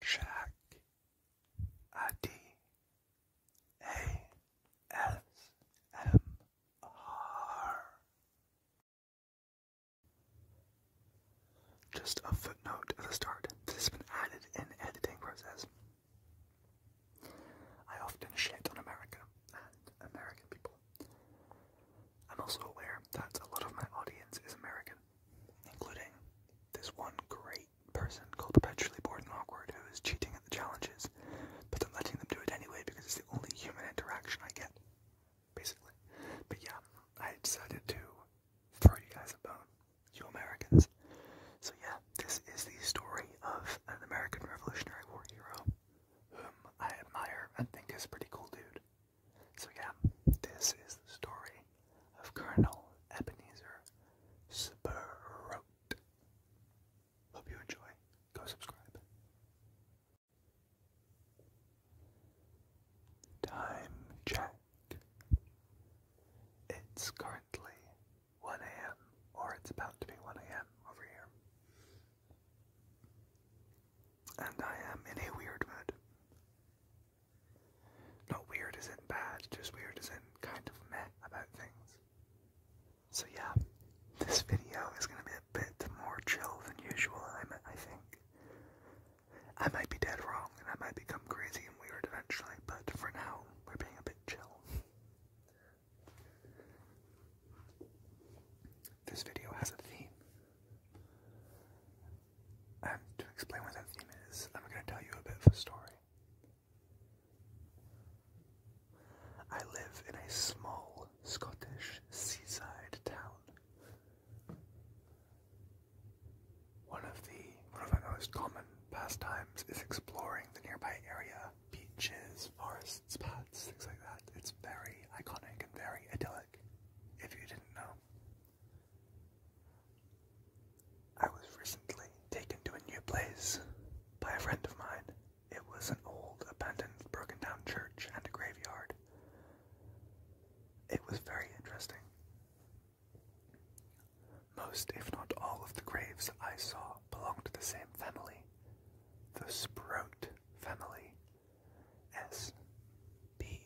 Track ID Just a footnote at the start. This has been added in editing process. I often shit on America and American people. I'm also aware that a lot of my audience is American, including this one great straight person called perpetually bored and awkward who is cheating at the challenges, but I'm letting them do it anyway because it's the only human interaction I get, basically. But yeah, I decided to throw you guys a bone, you Americans. So yeah, this is the story of an American Revolutionary War hero whom I admire and think is a pretty cool dude. So yeah, this is the story of Colonel Ebenezer Sproat. Hope you enjoy. Go subscribe. Time check. It's currently 1 a.m., or it's about to be 1 a.m. over here. And I am in a weird mood. Not weird isn't bad, just weird isn't kind of meh about things. So yeah, this video is gonna be a bit more chill than usual, I, I think. I might be dead wrong, and I might become crazy and weird eventually, but for now, we're being a bit chill. This video has a theme. Um, to explain what that theme is, I'm going to tell you a bit of a story. I live in a small Scottish seaside town. One of the one of my most common pastimes is exploring the nearby area, beaches, forests, paths, things like that. It's very iconic and very idyllic, if you didn't know. I was recently taken to a new place by a friend of mine. It was an old, abandoned, broken down church and a graveyard. It was very interesting. Most, if not all, of the graves I saw belonged to the same family, the Sprout family. S. B.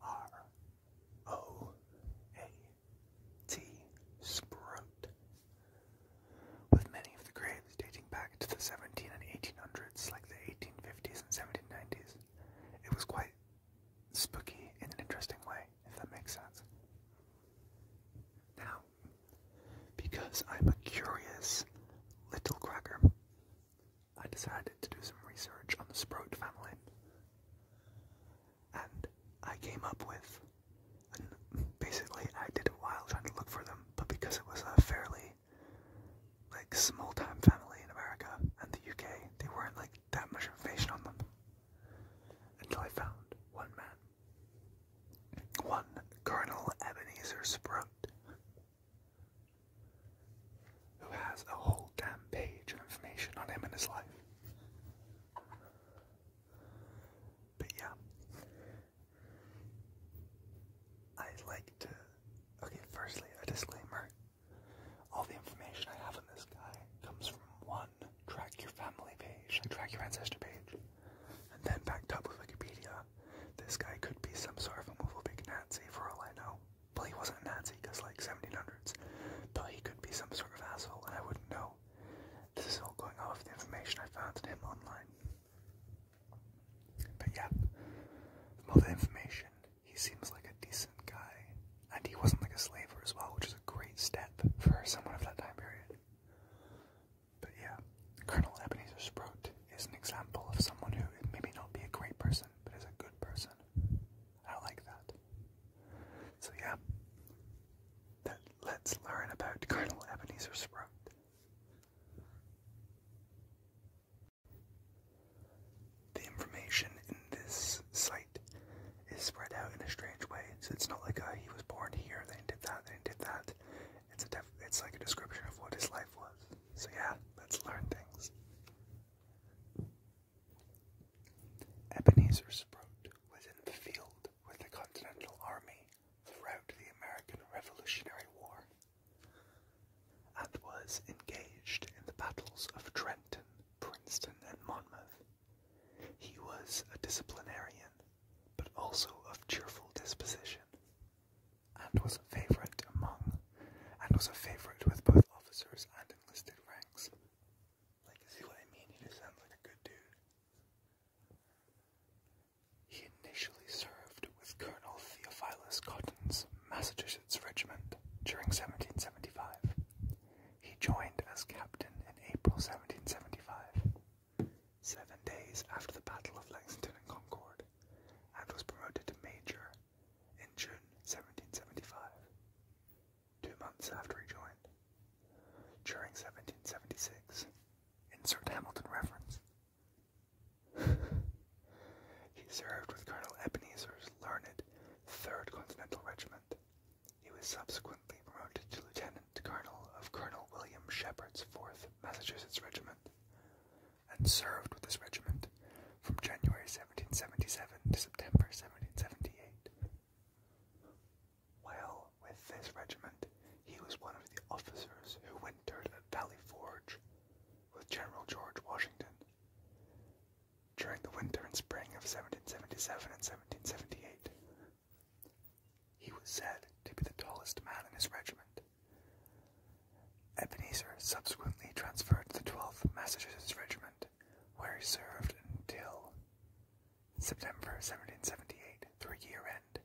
R O A T Sprout. With many of the graves dating back to the 17 and 1800s, like the 1850s and 1790s, it was quite spooky in an interesting way, if that makes sense. Now, because I'm a curious little cracker, I decided to do some research on the Sprout family. And I came up with, basically I did it while trying to look for them, but because it was a fairly like small time family in America and the UK, they weren't like that much information on them. Until I found one man. One Colonel Ebenezer Sprout who has a whole damn page of information on him and his life. But yeah, I like to. Okay, firstly, a disclaimer. All the information I have on this guy comes from one track your family page, track your ancestor page, and then backed up with Wikipedia. This guy could be some sort of movable big Nazi for all I know he wasn't a Nazi because like 1700s. but he could be some sort of asshole and I wouldn't know. This is all going off the information I found in him online. But yeah, all the information, he seems like a decent guy. And he wasn't like a slaver as well, which is a great step for someone of that time period. But yeah, Colonel Ebenezer Sprout is an example of someone who maybe not be a great person, but is a good person. I like that. So yeah, let's learn about Colonel Ebenezer Sprout. The information in this site is spread out in a strange way. So it's not like uh, he was born here, then did that, then did that. It's a def it's like a description of what his life was. So yeah, let's learn things. Ebenezer Sprout was in the field with the Continental Army throughout the American Revolutionary War and was engaged in the battles of Trenton, Princeton, and Monmouth. He was a disciplinarian, but also of cheerful disposition, and was a favorite among and was a favorite with both officers and listed ranks. Like, see what I mean? He just sounds like a good dude. He initially served with Colonel Theophilus Cotton's Massachusetts Regiment during 1775. He joined as captain in April 1775, seven days after the Battle of Lexington and Concord, and was promoted to major in June 1775, two months after he joined. During 1776, insert Hamilton reference, he served with Colonel Ebenezer's learned 3rd Continental Regiment. He was subsequently promoted to Lieutenant Colonel of Colonel William Shepard's 4th Massachusetts Regiment and served with this regiment from January 17 1777 to September 1778. While with this regiment, he was one of the officers who wintered at Valley Forge with General George Washington. During the winter and spring of 1777 and 1778, he was said to be the tallest man in his regiment. Ebenezer subsequently transferred to the 12th Massachusetts Regiment where he served until September 1778 through year-end.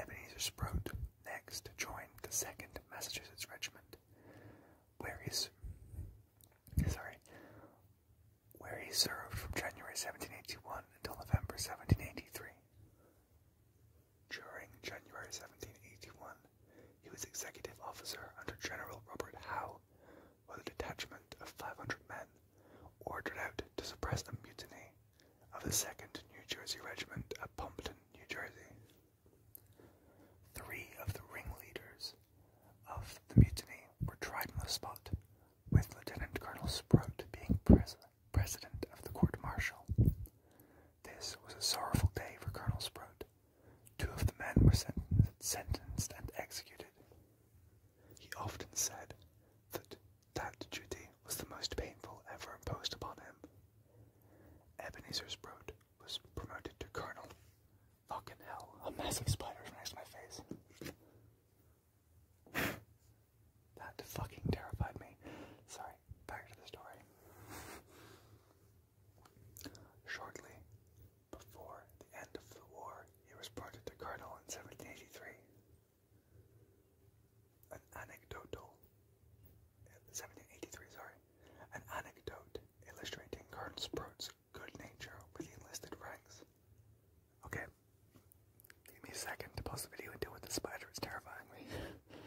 Ebenezer Sproat next joined the 2nd Massachusetts Regiment, where he, sorry, where he served from January 1781 until November 1783. During January 1781, he was executive officer under General Robert Howe with a detachment of 500 men ordered out to suppress a mutiny of the 2nd New Jersey Regiment at Pompton, New Jersey. Three of the ringleaders of the mutiny were tried on the spot, with Lieutenant Colonel Sprout being pres of the court martial. This was a sorrowful day for Colonel Sprout, Two of the men were sentenced, and executed. He often said that that duty was the most painful ever imposed upon him. Ebenezer Sprout was promoted to colonel. Fucking hell, a massive spider is next to my face. that fucking terrified me. Sorry, back to the story. Shortly before the end of the war, he was promoted to colonel in 1783. An anecdotal, 1783, sorry, an anecdote illustrating Colonel Sprout's good nature with the enlisted ranks. Okay, give me a second to pause the video and deal with the spider. It's terrifying me.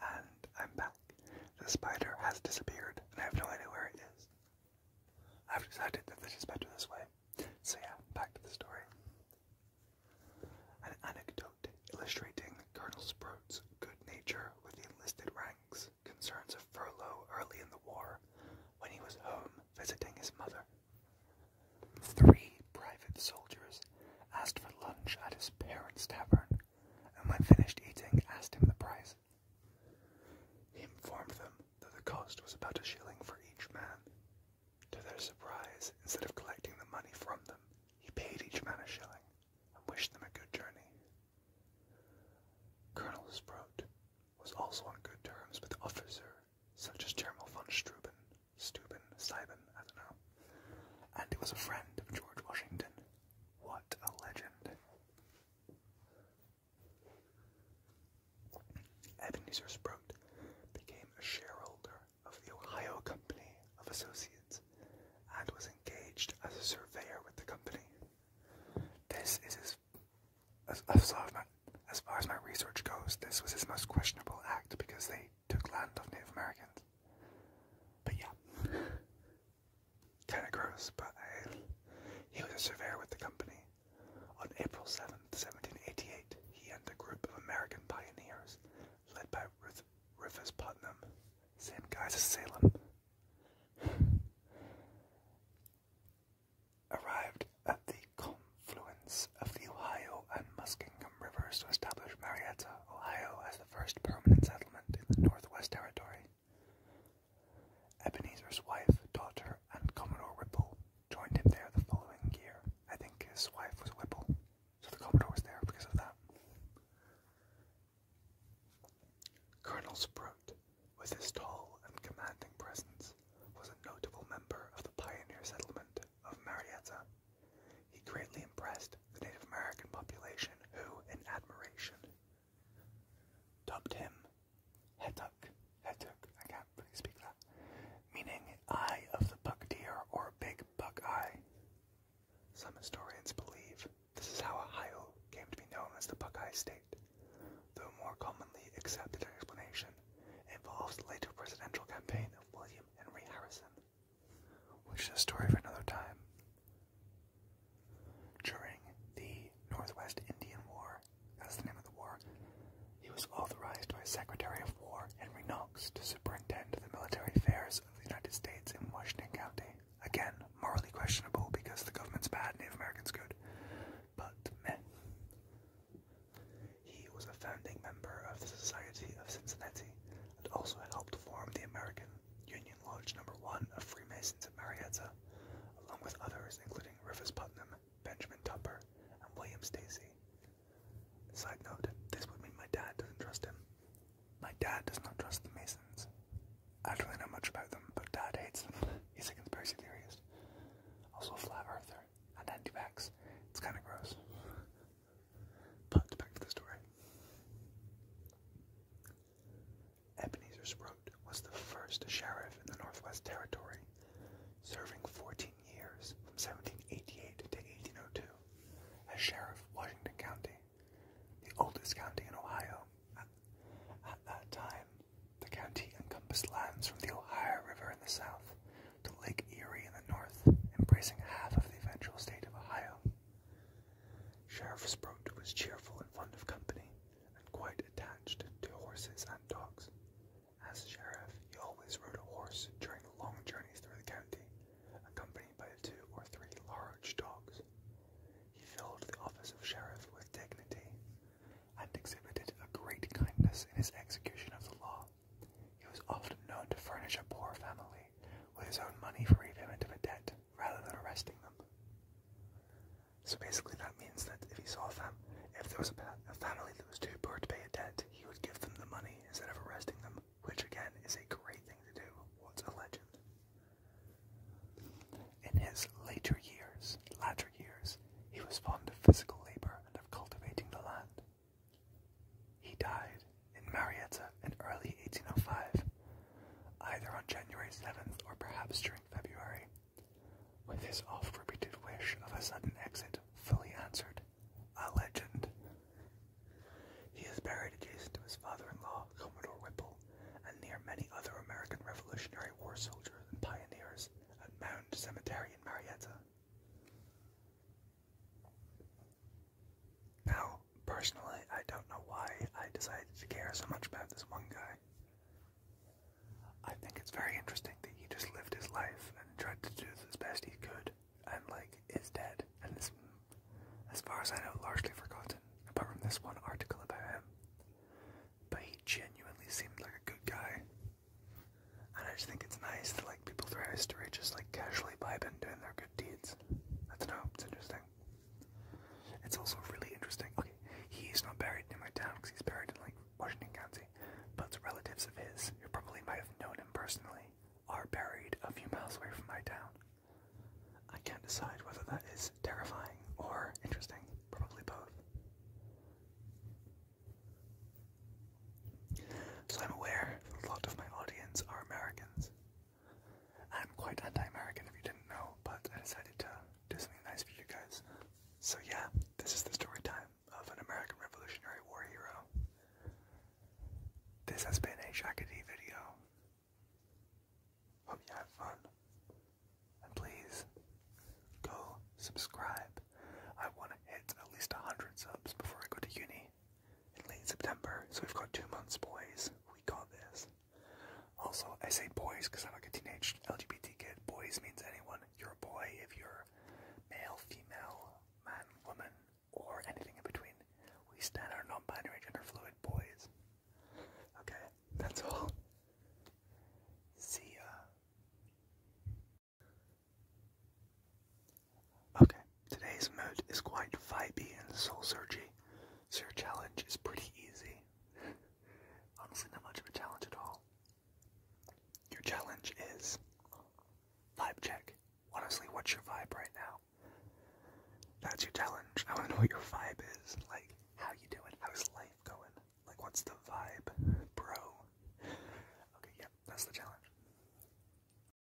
And I'm back. The spider has disappeared, and I have no idea where it is. I've decided that this is better this way. So yeah, back to the story. An anecdote illustrating Colonel Sprout's good nature with the enlisted ranks concerns a furlough early in the war when he was home visiting his mother. Three private soldiers asked for lunch at his parents' tavern and when finished eating, asked him the price. He informed them that the cost was about a shilling for each man. To their surprise, instead of collecting the money from them, he paid each man a shilling and wished them a good journey. Colonel Sprout was also on good terms with officers such as General von Steuben, Steuben, Steuben, I don't know, and he was a friend of George Washington. What a legend. Ebenezer Sproat became a shareholder of the Ohio Company of Associates and was engaged as a surveyor with the company. This is as far as my research goes, this was his most questionable act because they took land of Native Americans. But yeah, kind of gross, but uh, he was a surveyor with the company. On April seventh, 1788, he and a group of American pioneers, led by Ruth, Rufus Putnam, same guys as Salem, arrived at the confluence of the Ohio and Muskingum rivers to establish Marietta, Ohio, as first permanent settlement in the Northwest Territory. Ebenezer's wife, daughter, and Commodore Whipple joined him there the following year. I think his wife was Whipple, so the Commodore was there because of that. Colonel Sprout, with his tall and commanding presence, was a notable member of the pioneer settlement of Marietta. He greatly impressed the Native American population who, in admiration, dubbed him Hetuk. Hetuk, I can't really speak that. Meaning eye of the buck deer or big buck eye. Some historians believe this is how Ohio came to be known as the Buckeye State, though more commonly accepted explanation involves the later presidential campaign of William Henry Harrison which is a story for another time. During the Northwest Indian War, that's the name of the war, he was authorized by Secretary of War Henry Knox to superintend the military affairs of the United States in Washington County. Again, morally questionable because the government's bad, Native Americans good. But meh. He was a founding member of the Society of Cincinnati and also helped form the American Union Lodge Number One of Freemasons of Marietta, along with others including Rufus Putnam, Benjamin Tupper, and William Stacy. Side note: This would mean my dad doesn't trust him. My dad does not trust the Masons. I don't really know much about them, but Dad hates them. He's a conspiracy theorist. Also a flat earther and anti-vax. It's kind of gross. But back to the story. Ebenezer Scrooge was the first sheriff in the Northwest Territory, serving 14 years from 1788 to 1802 as sheriff of Washington County, the oldest county in Ohio. at that time, the county encompassed lands from the Ohio River in the south to Lake Erie in the north, embracing half of the eventual state of Ohio. Sheriff Sprout was cheerful and fond of company, and quite attached to horses and dogs. As sheriff, he always rode a horse during long journeys through the county, accompanied by two or three large dogs. He filled the office of sheriff with dignity, and exhibited a great kindness in his execution of the law. He was often known to furnish a poor family with his own money for repayment of a debt rather than arresting them. So basically, that means that if he saw them, if there was a, family that was too poor to pay a debt, he would give them the money instead of arresting them, which again is a great thing to do. What's a legend? In his later years, later years, he was fond of physical labor and of cultivating the land. He died in Marietta in early 1805, either on January 7th or perhaps during February, with his oft-repeated wish of a sudden exit fully answered. A legend. He is buried adjacent to his father-in-law, Commodore Whipple, and near many other American Revolutionary War soldiers and pioneers at Mound Cemetery in Marietta. Now, personally, I don't know why I decided to care so much about this one guy. I think it's very interesting that he just lived his life and tried to do as best he could, and like is dead, and is, as far as I know, largely forgotten, apart from this one article about him. But he genuinely seemed like a good guy, and I just think it's nice that like people throughout history just like casually vibe and doing their good deeds. That's dope. It's interesting. It's also really interesting. Okay, he's not buried in my town because he's buried in like Washington County, but relatives of his who probably might have known him personally are buried a few miles away from my town. I can't decide whether that is terrifying or interesting. Probably both. So I'm aware a lot of my audience are Americans, I'm quite anti-American if you didn't know, but I decided to do something nice for you guys. So yeah, this is the story time of an American Revolutionary War hero. This has been a Shakadee video. Hope you had fun. And please, go subscribe. I want to hit at least 100 subs before I go to uni in late September, so we've got two months, boys. We got this. Also, I say boys because I'm like a teenage LGBT kid. Boys means anyone. You're a boy if you're male, female, man, woman, or anything in between. We stand our non binary gender fluid boys. Okay, that's all. See ya. Okay, today's mood is quite vibey and soul searchy, so your challenge is pretty easy. Honestly, not much of a challenge at all. Your challenge is vibe check. Honestly, what's your vibe right now? That's your challenge. I want to know what your vibe is. Like, how you doing? How's life going? Like, what's the vibe, bro? Okay, yeah, that's the challenge.